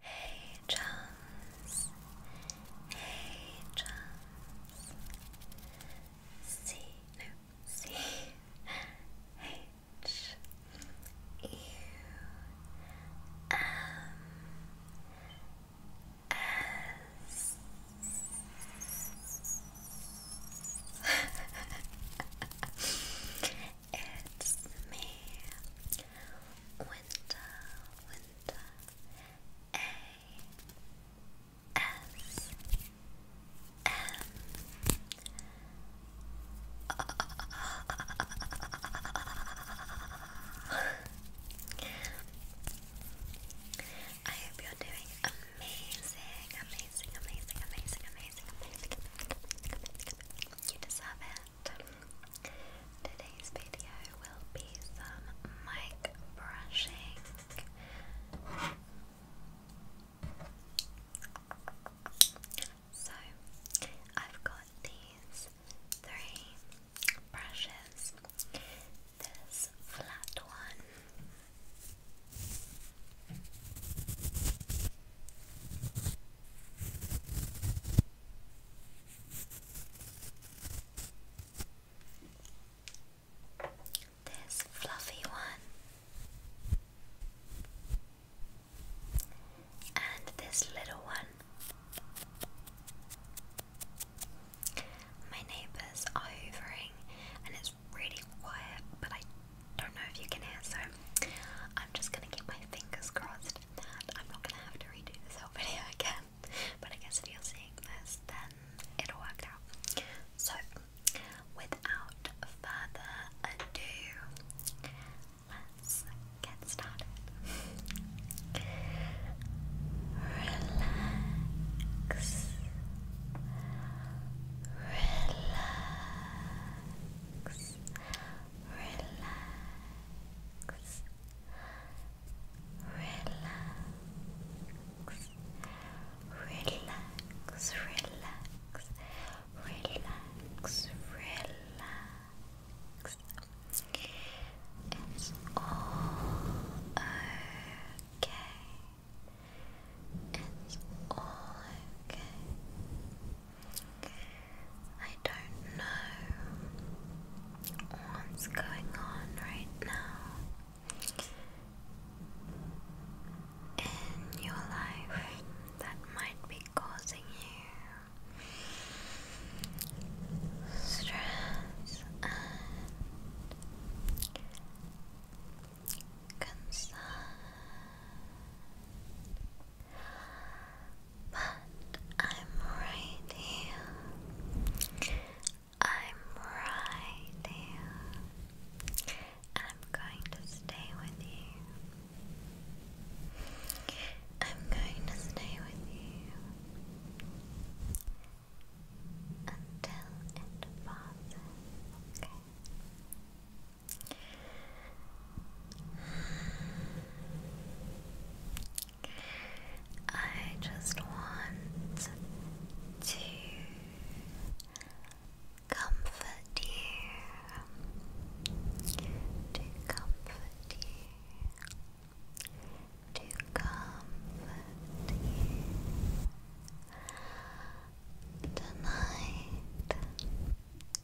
Hey Jones, hey Jones, C, it's me, Winter, Winter, A S M. I hope you're doing amazing, amazing, amazing, amazing, amazing, amazing, amazing, amazing, You deserve it that. Today's video will be some mic brushing. So, I've got these three brushes. This flat one. This fluffy one, and this little one. My neighbours are hoovering, and it's really quiet, but I don't know if you can hear, so I'm just gonna keep my fingers crossed I'm not gonna have to redo this whole video again. But I guess if you're seeing this, then it'll work out. So, without further ado, let's get started. Relax. Relax relax, relax, relax, relax, relax, relax. It's all okay. It's all okay. I don't know what's going on right now in your life that might be causing you stress and concern. But I'm right here. I'm right here. I'm going to stay with you. I'm going to stay with you until it passes, okay? I just want to comfort you, to comfort you, to comfort you tonight.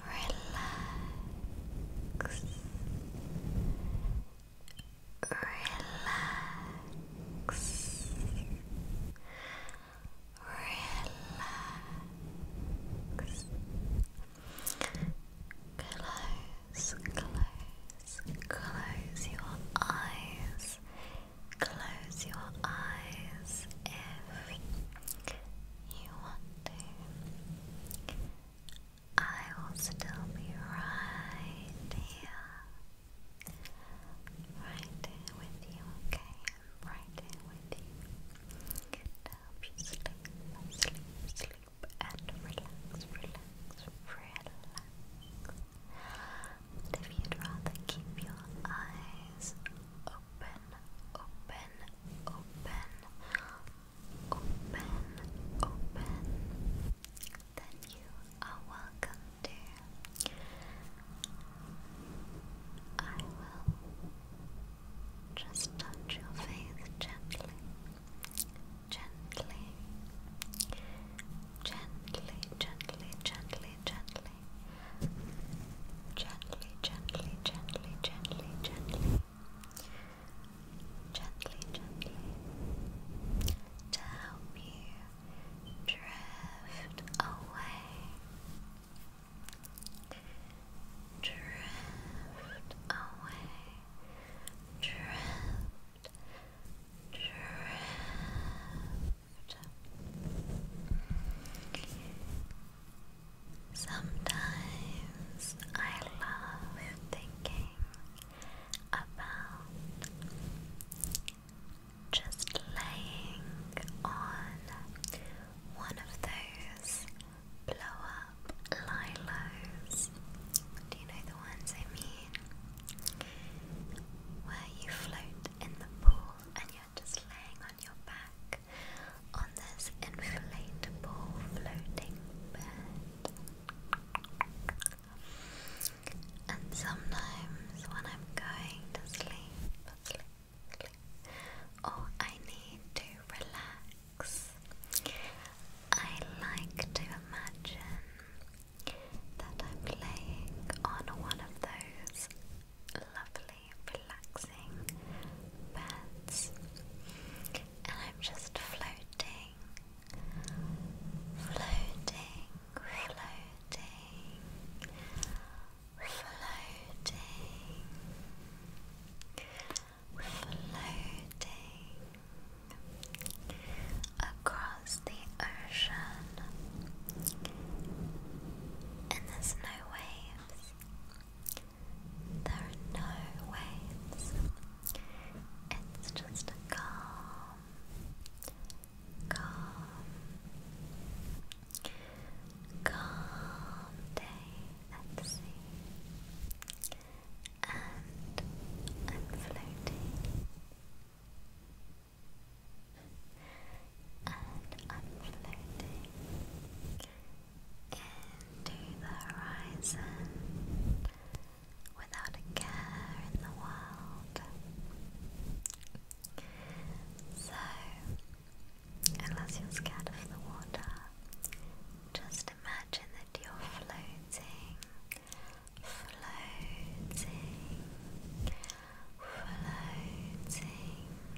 relax, relax, relax. Close, close, close your eyes. Close your eyes you want to. I will still be right here. Right here with you, okay? I'm right here with you. To help you sleep, sleep, sleep, and relax, relax, relax. And if you'd rather keep your eyes open, open, open, open, open, Then you are welcome to. I will just touch your face gently, gently, gently, gently, gently, gently, gently, gently, gently, gently, gently, gently, gently, to help you drift away, drift away, drift, drift. Sometimes I love thinking about just laying on one of those blow up lilos. Do you know the ones I mean? Where you float in the pool and just laying on your back on this inflatable floating bed. And sometimes when I'm going to sleep, or oh, I need to relax, I like to imagine that I'm laying on one of those lovely, relaxing beds, and I'm just floating, floating, floating, floating, floating across the ocean. And there's no waves. There are no waves. It's just a calm, calm, calm day at sea. And I'm floating and floating into the horizon without a care in the world. So, unless you're scared of the water, just imagine that you're floating, floating, floating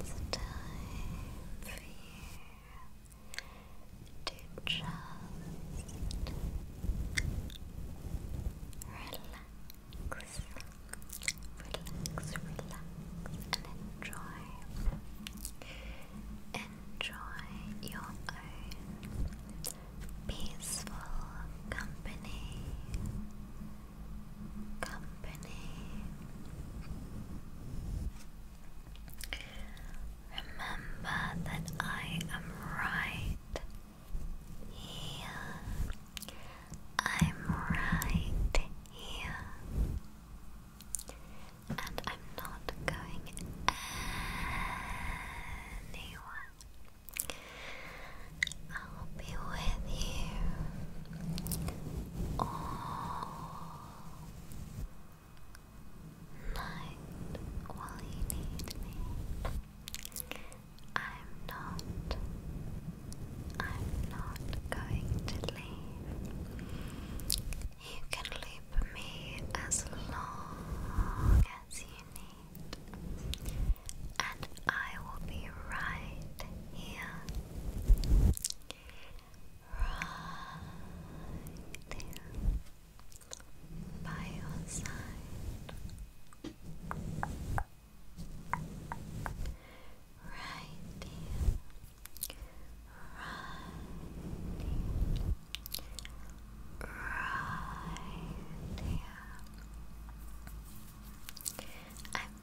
It's time for you to just relax, relax, relax, and enjoy, enjoy your own peaceful company company. Remember that I am right here. I'm right here. And I'm not going anywhere. I'll be with you all night while you need me. I'm not, I'm not going to leave. You can leave me as long as you need, and I will be right here Right there by your side. Right there. Right there. Right there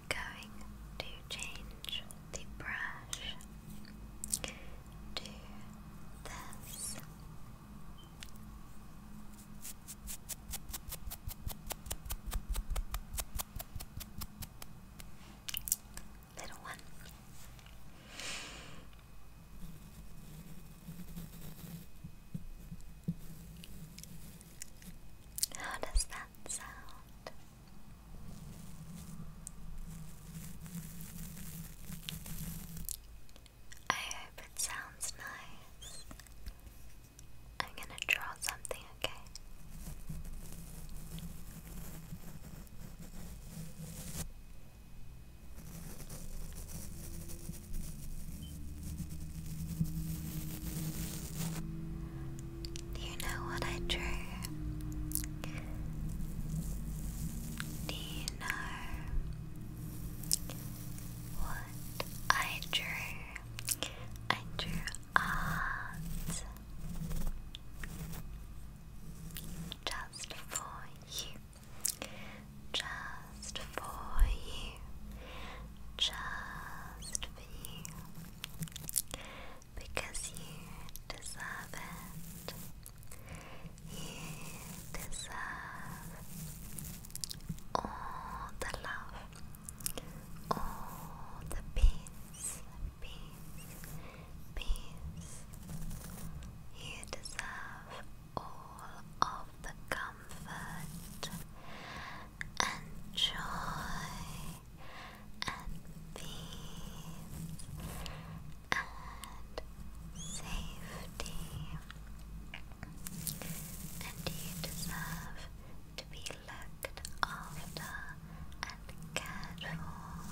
going to change the brush to this. Little one. How does that sound? I hope it sounds nice. I'm gonna draw something, okay? You know what I drew? Do you know what I drew? I drew art just for you, just for you, just for you because you deserve it. You deserve all the love, all the peace, peace, peace. You deserve all of the comfort and joy and peace and safety. And you deserve to be looked after and cared for.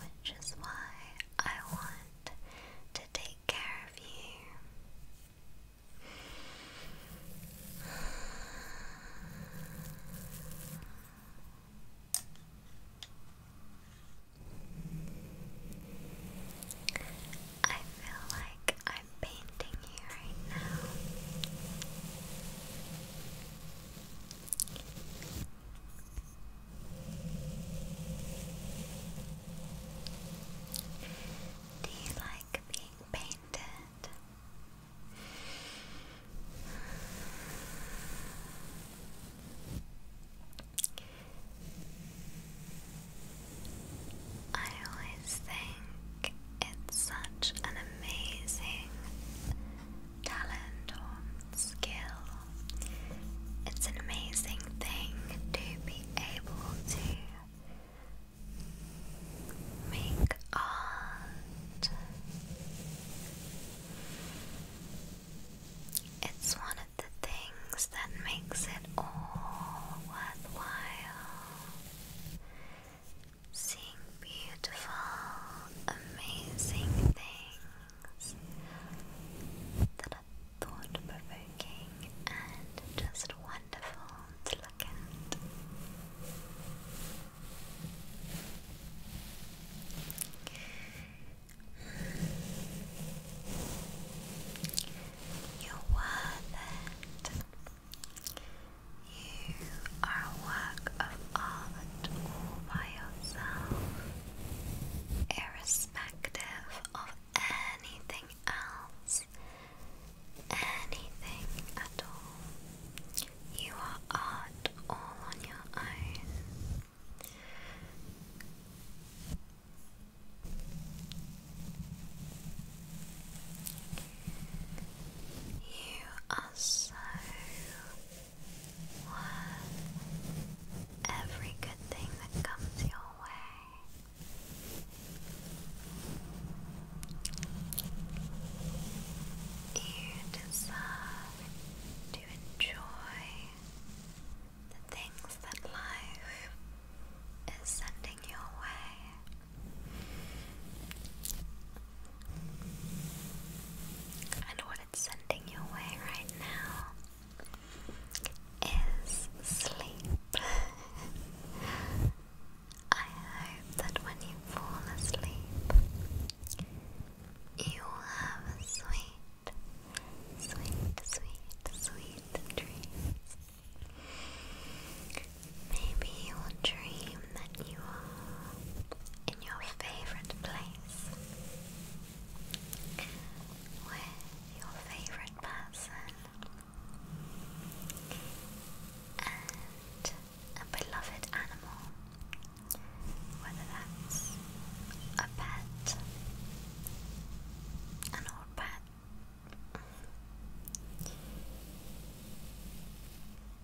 Which is why I want to take care of you. I feel like I'm painting you right now. Do you like being painted? I always think it's such an amazing talent skill. It's an amazing thing to be able to make art. It's one of the things that makes it all worthwhile seeing beautiful, amazing things that are thought provoking and just wonderful to look at. You're worth it. You are a work of art all by yourself, irrespective of anything else, anything at all. You are art all on your own. You are so Love every good thing that comes your way. You deserve to enjoy the things that life is sending your way. And what it's sending your way right now is sleep. I hope that when you fall asleep, you will have sweet, sweet, sweet, sweet dreams. Maybe you will dream that you are in your favourite place with your favourite person and a beloved animal, whether that's a pet, an old pet.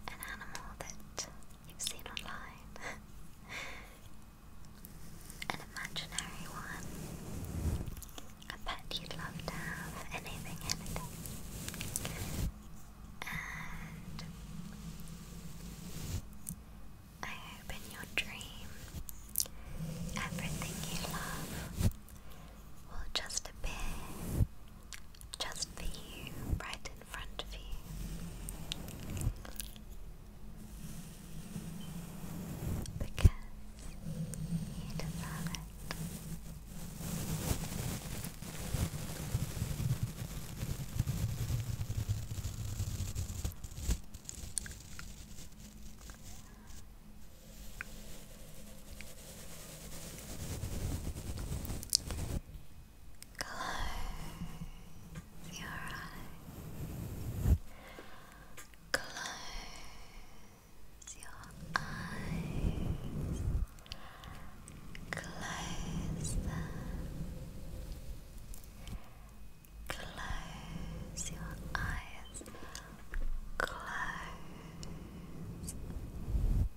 An animal that you've seen online. An imaginary one. I bet you'd love to have anything, anything. And I hope your dream everything you love will just appear just for you, right in front of you. Because you deserve it. Close your eyes. Close your eyes. Close them. Close your eyes. Close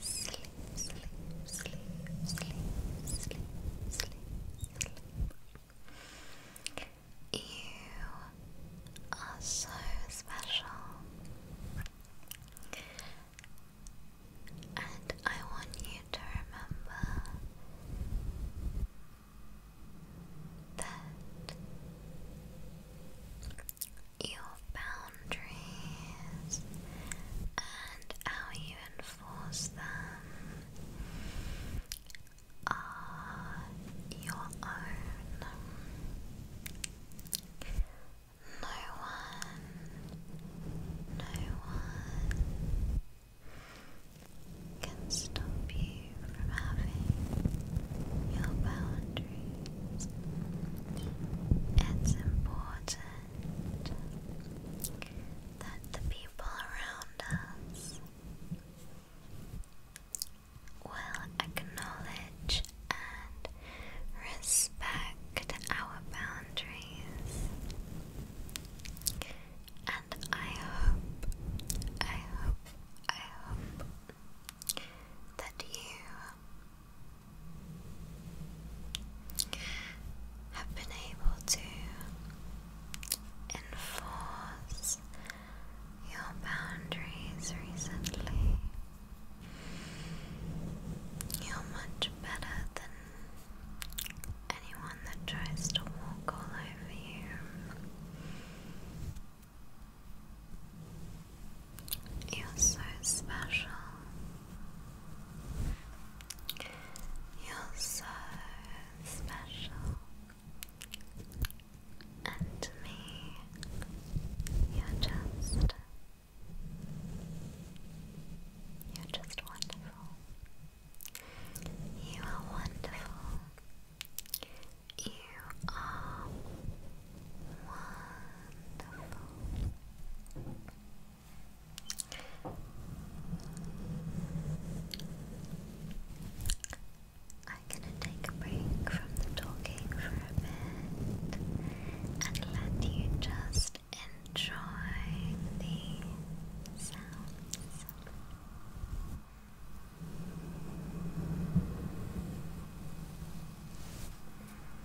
Sleep, sleep, sleep, sleep, sleep, sleep, sleep. You are so special. And I want you to remember that your boundaries and how you force them are uh, your own. No one, no one can stop you from having your boundaries. It's important that the people around us will acknowledge and respect our boundaries. And I hope, I hope, I hope that you have been able to enforce your boundaries recently. You're much better than anyone that tries to walk all over you. You're so special. You're so special. And to me, you're just. You're just wonderful. You are wonderful. You are wonderful. I'm gonna take a break from talking for a bit and let you just enjoy the sounds.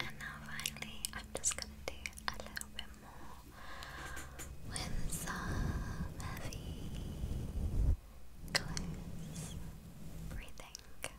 And now finally, I'm just gonna do a little bit more with some heavy, close breathing.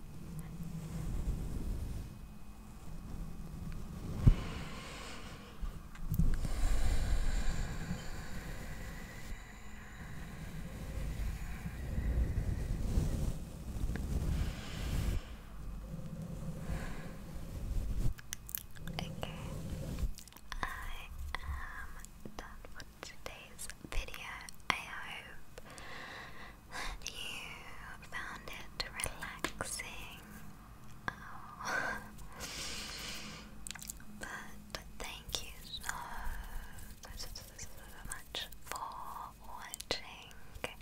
Okay, I am done for today's video. I hope that you found it relaxing. Oh. but thank you so, so, so much for watching, and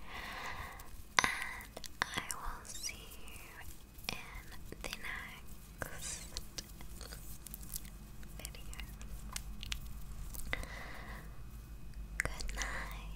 I will see you in the next video. Good night.